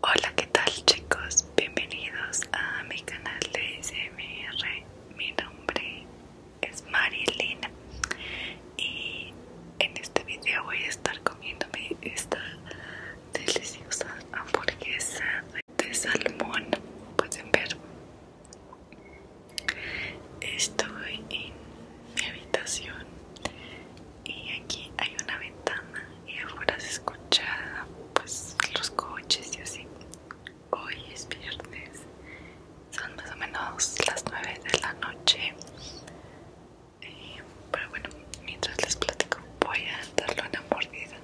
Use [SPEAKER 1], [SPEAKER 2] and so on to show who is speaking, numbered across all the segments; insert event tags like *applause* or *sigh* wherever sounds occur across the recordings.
[SPEAKER 1] Hola, ¿qué tal chicos? Bienvenidos a mi canal de SMR. Mi nombre es Marilina y en este video voy a estar comiéndome esta deliciosa hamburguesa de salmón. Pueden ver. Estoy en mi habitación y aquí hay una ventana y afuera se escucha pues los coches y así hoy es viernes son más o menos las 9 de la noche eh, pero bueno mientras les platico voy a darle una mordida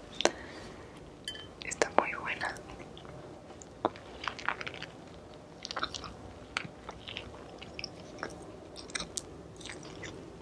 [SPEAKER 1] está muy buena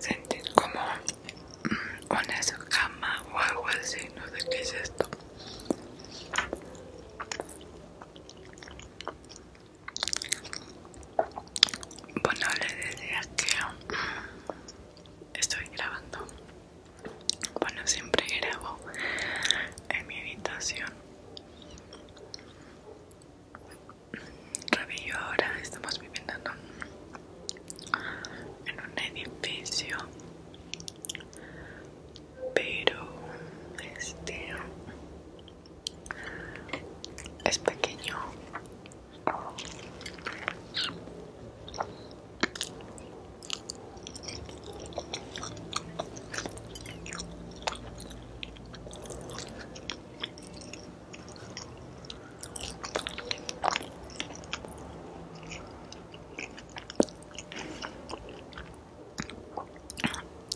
[SPEAKER 1] Sentir como mm, una escama o algo así, no sé qué es esto. Bueno, le decía que mm, estoy grabando bueno siempre grabo en mi habitación y ahora estamos viviendo en un, en un edificio pero este es pequeño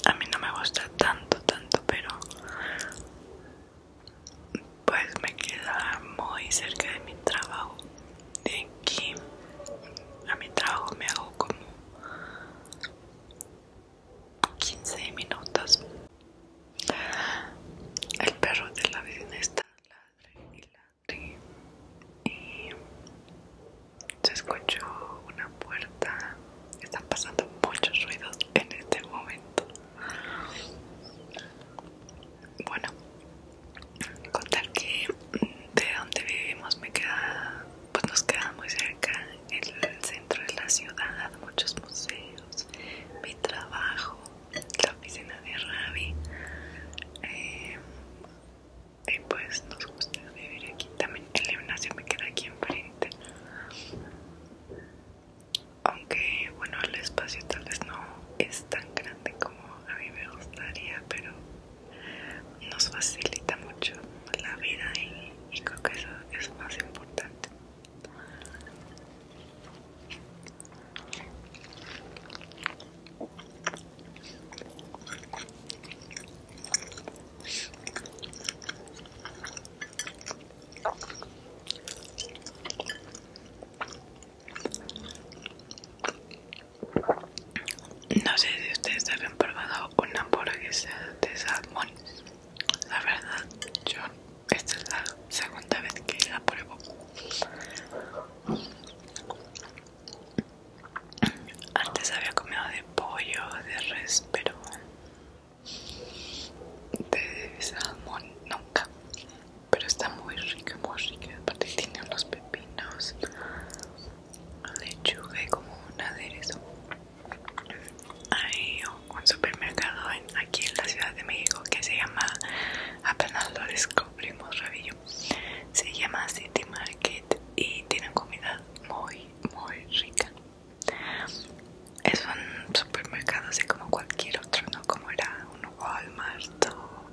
[SPEAKER 1] a mí no me gusta tanto, tanto, pero pues me queda muy cerca de mi trabajo de aquí a mi trabajo me hago como 15 minutos el perro de la vecina está ladre y ladre y se escuchó una puerta están pasando muchos ruidos en este momento bueno, contar que mm, de donde vivimos me queda, pues nos queda muy cerca el centro de la ciudad, muchos museos, mi trabajo, la oficina de Ravi. Eh, y pues nos gusta vivir aquí también. El gimnasio me queda aquí enfrente aunque bueno el espacio tal vez no es tan grande como a mí me gustaría pero nos facilita mucho la vida y, creo que eso es más importante no sé si ustedes habían probado una hamburguesa de salmón. La verdad, yo esta es la segunda vez que la pruebo. Antes había comido de pollo, de res, pero de salmón nunca pero está muy rica, muy rica. porque tiene unos pepinos, lechuga y como un aderezo. Hay un supermercado aquí en la Ciudad de México que se llama, apenas lo descubrimos, rabillo. Se llama City Market y tienen comida muy, muy rica. Es un supermercado así como cualquier otro, no como era un Walmart o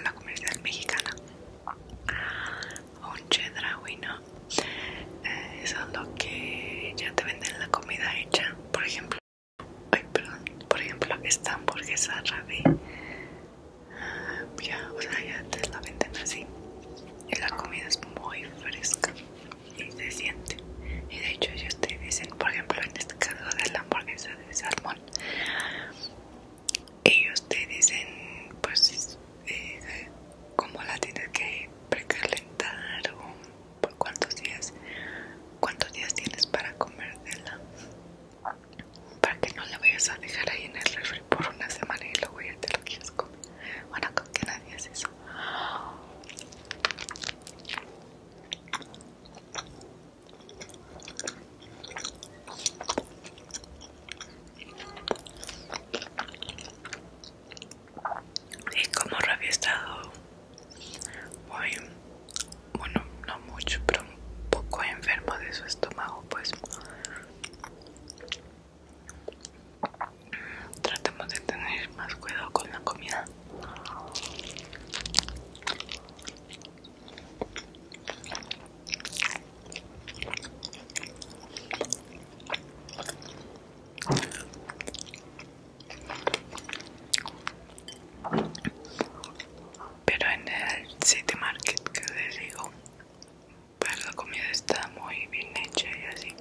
[SPEAKER 1] una comercial mexicana un Chedraui, ¿no? Eh, eso es lo que ya te venden la comida hecha, por ejemplo. Ay, perdón, por ejemplo, esta hamburguesa rabí, ah, ya, o sea, ya te la venden así. Y la comida es muy fresca y se siente. Y de hecho ellos te dicen, por ejemplo, en este caso de la hamburguesa de salmón, ellos te dicen, pues, Como eh, cómo la tienes que precalentar o por cuántos días, cuántos días tienes para comértela, para que no la vayas a dejar ahí en el refri por una semana y luego ya te lo quieres comer. Bueno, con que nadie hace eso. Y como rabia ha estado muy, bueno, no mucho, pero un poco enfermo de su estómago, pues tratemos de tener más cuidado con la comida. Pero en el City Market que les digo, pero pues la comida está muy bien hecha y así.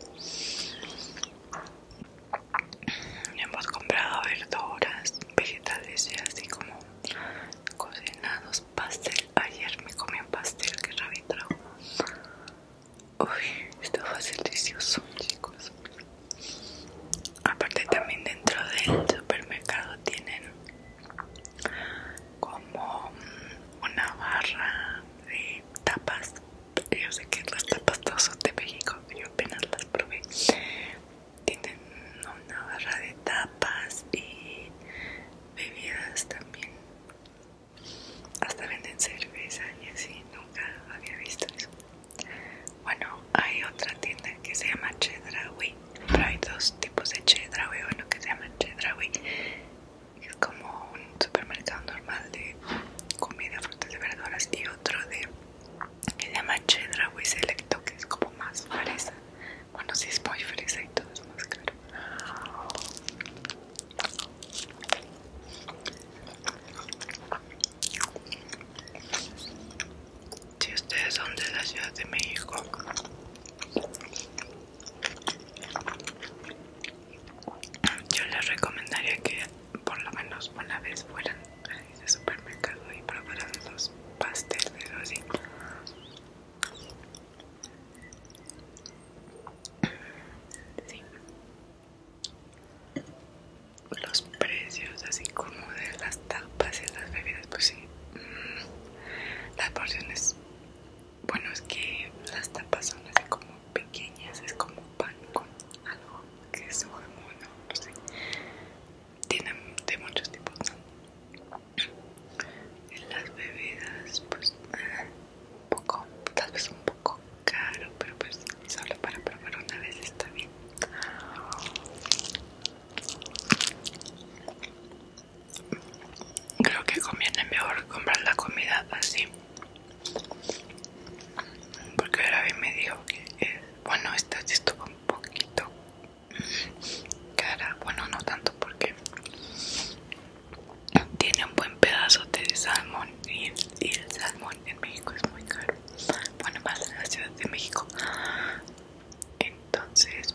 [SPEAKER 1] Hemos comprado verduras, vegetales y así como cocinados, pastel. Ayer me comí un pastel que Ravi Uy, esto fue delicioso, chicos. Aparte también dentro del supermercado tienen como una barra de tapas yo sé que las tapas son de México, yo apenas las probé, tienen una barra de tapas y bebidas también. Hasta venden cerveza y así, nunca había visto eso. Bueno, hay otra tienda que se llama Chedraui, pero hay dos tipos de Chedraui, uno que se llama Chedraui, es como un supermercado normal de comida, frutas y verduras, y otro de que se llama Chedra Selecto, que es como más fresa. Bueno, si sí es muy fresa y todo es más caro. Si ustedes son de la Ciudad de México yo les recomendaría que por lo menos una vez fueran a ese supermercado y probaran los pasteles así los precios así como de las tapas y las bebidas pues sí mm, las porciones bueno es que las tapas son así como pequeñas, es como pan con algo, queso, jamón, no sé. Tienen de muchos tipos, ¿no? En las bebidas, pues, eh, un poco, tal vez un poco caro, pero pues solo para probar una vez está bien. Creo que conviene mejor comprar la comida así porque ahora bien me dijo que eh, bueno esta estuvo un poquito cara bueno no tanto porque tiene un buen pedazo de salmón y el, salmón en México es muy caro bueno más en la ciudad de México entonces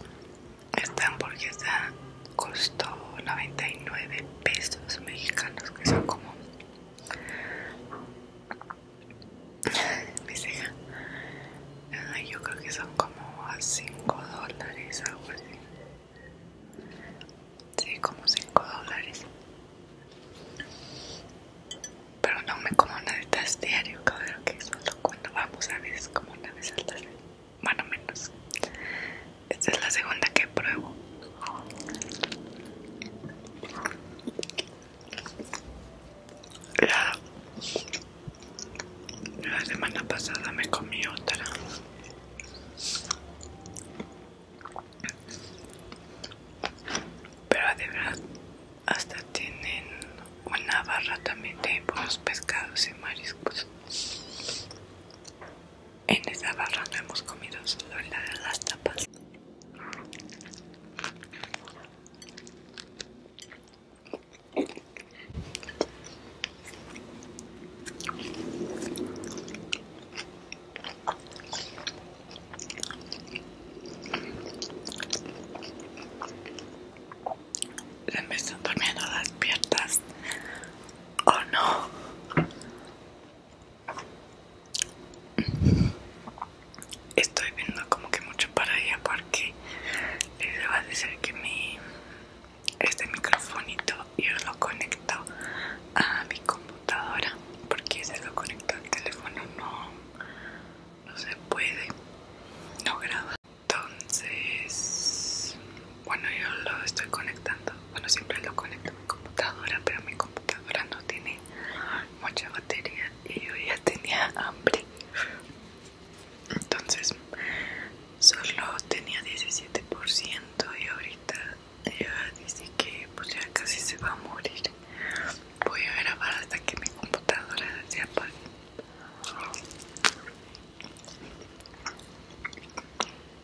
[SPEAKER 1] esta hamburguesa costó 99 pesos mexicanos que son como mi ceja. yo creo que son como 5 dólares, algo así. Sí, como 5 dólares. Pero no me como una de estas diario, que solo cuando vamos a ver es como una vez al más Bueno, menos. Esta es la segunda que pruebo. La, semana pasada me comí otra. Pero de verdad hasta tienen una barra también de buenos pescados y mariscos. En esa no hemos comido solo de las tapas. Se me están durmiendo las piernas. ¿O no. Estoy viendo como que mucho para allá porque les va a decir que mi este microfonito yo lo conecto a mi computadora porque se lo conecto al teléfono no no se puede no graba entonces bueno, yo lo estoy conectando. Bueno, siempre lo conecto a mi computadora, pero mi computadora no tiene mucha batería y yo ya *laughs* tenía hambre. Entonces, solo tenía 17% y ahorita ya dice que pues ya casi se va a morir. Voy a grabar hasta que mi computadora se apague.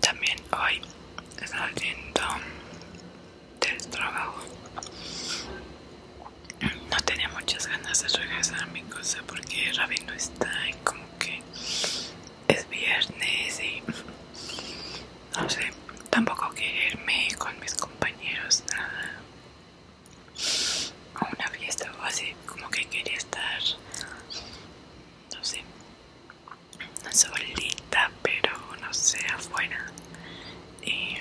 [SPEAKER 1] También hoy saliendo del trabajo no tenía muchas ganas de regresar a mi cosa porque Ravi no está y como que es viernes y no sé, tampoco quererme con mis compañeros, nada. A una fiesta o así, como que quería estar, no sé, solita, pero no sé, afuera. Y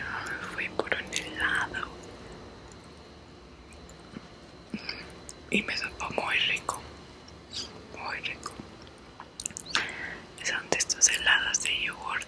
[SPEAKER 1] fui por un helado. Y me supo muy rico, muy rico. Son de estos helados de yogurt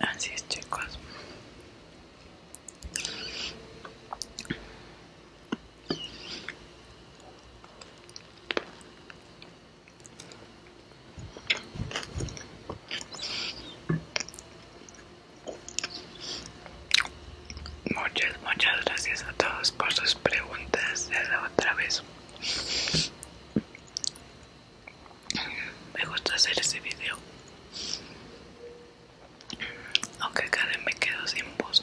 [SPEAKER 1] Así es, chicos. Muchas, muchas gracias a todos por sus preguntas de la otra vez. Me gusta hacer ese video. Aunque cada me quedo sin voz.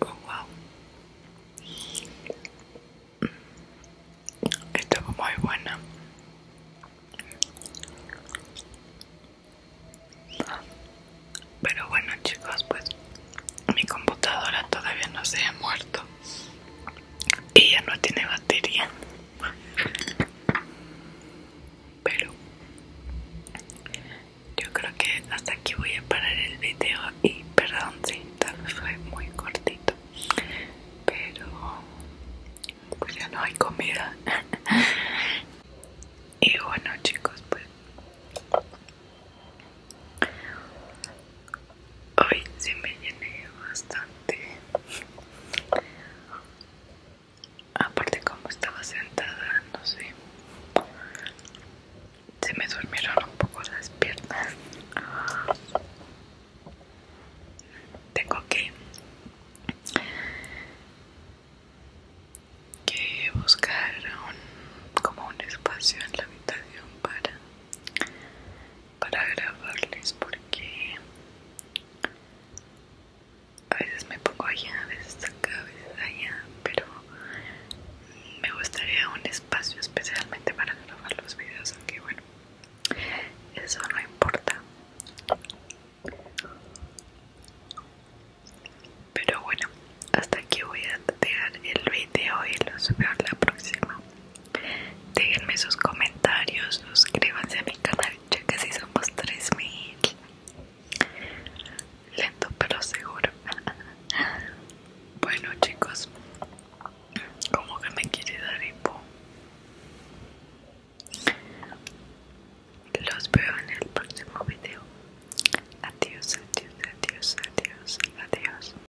[SPEAKER 1] Oh, wow. muy buena. Pero bueno chicos, pues mi computadora todavía no se ha muerto y ya no tiene batería pero yo creo que hasta aquí voy a parar el video y perdón si tal vez fue muy cortito pero pues ya no hay comida *laughs* y bueno chicos pues hoy se me llené bastante aparte como estaba sentada no sé se me durmieron un poco las piernas tengo que que buscar un, como un espacio en la habitación para para grabarles porque a veces me pongo allá, a veces acá, a veces allá, pero me gustaría un espacio especialmente para grabar los videos, aunque bueno, eso no importa. Pero bueno, hasta aquí voy a dejar el video y lo subiré la próxima. Déjenme sus comentarios, suscríbanse a mi canal, ya casi somos 3000. Lento pero seguro. *laughs* Bueno chicos, como que me quiere dar hipo. Los veo en el próximo video. Adiós, adiós, adiós, adiós, adiós.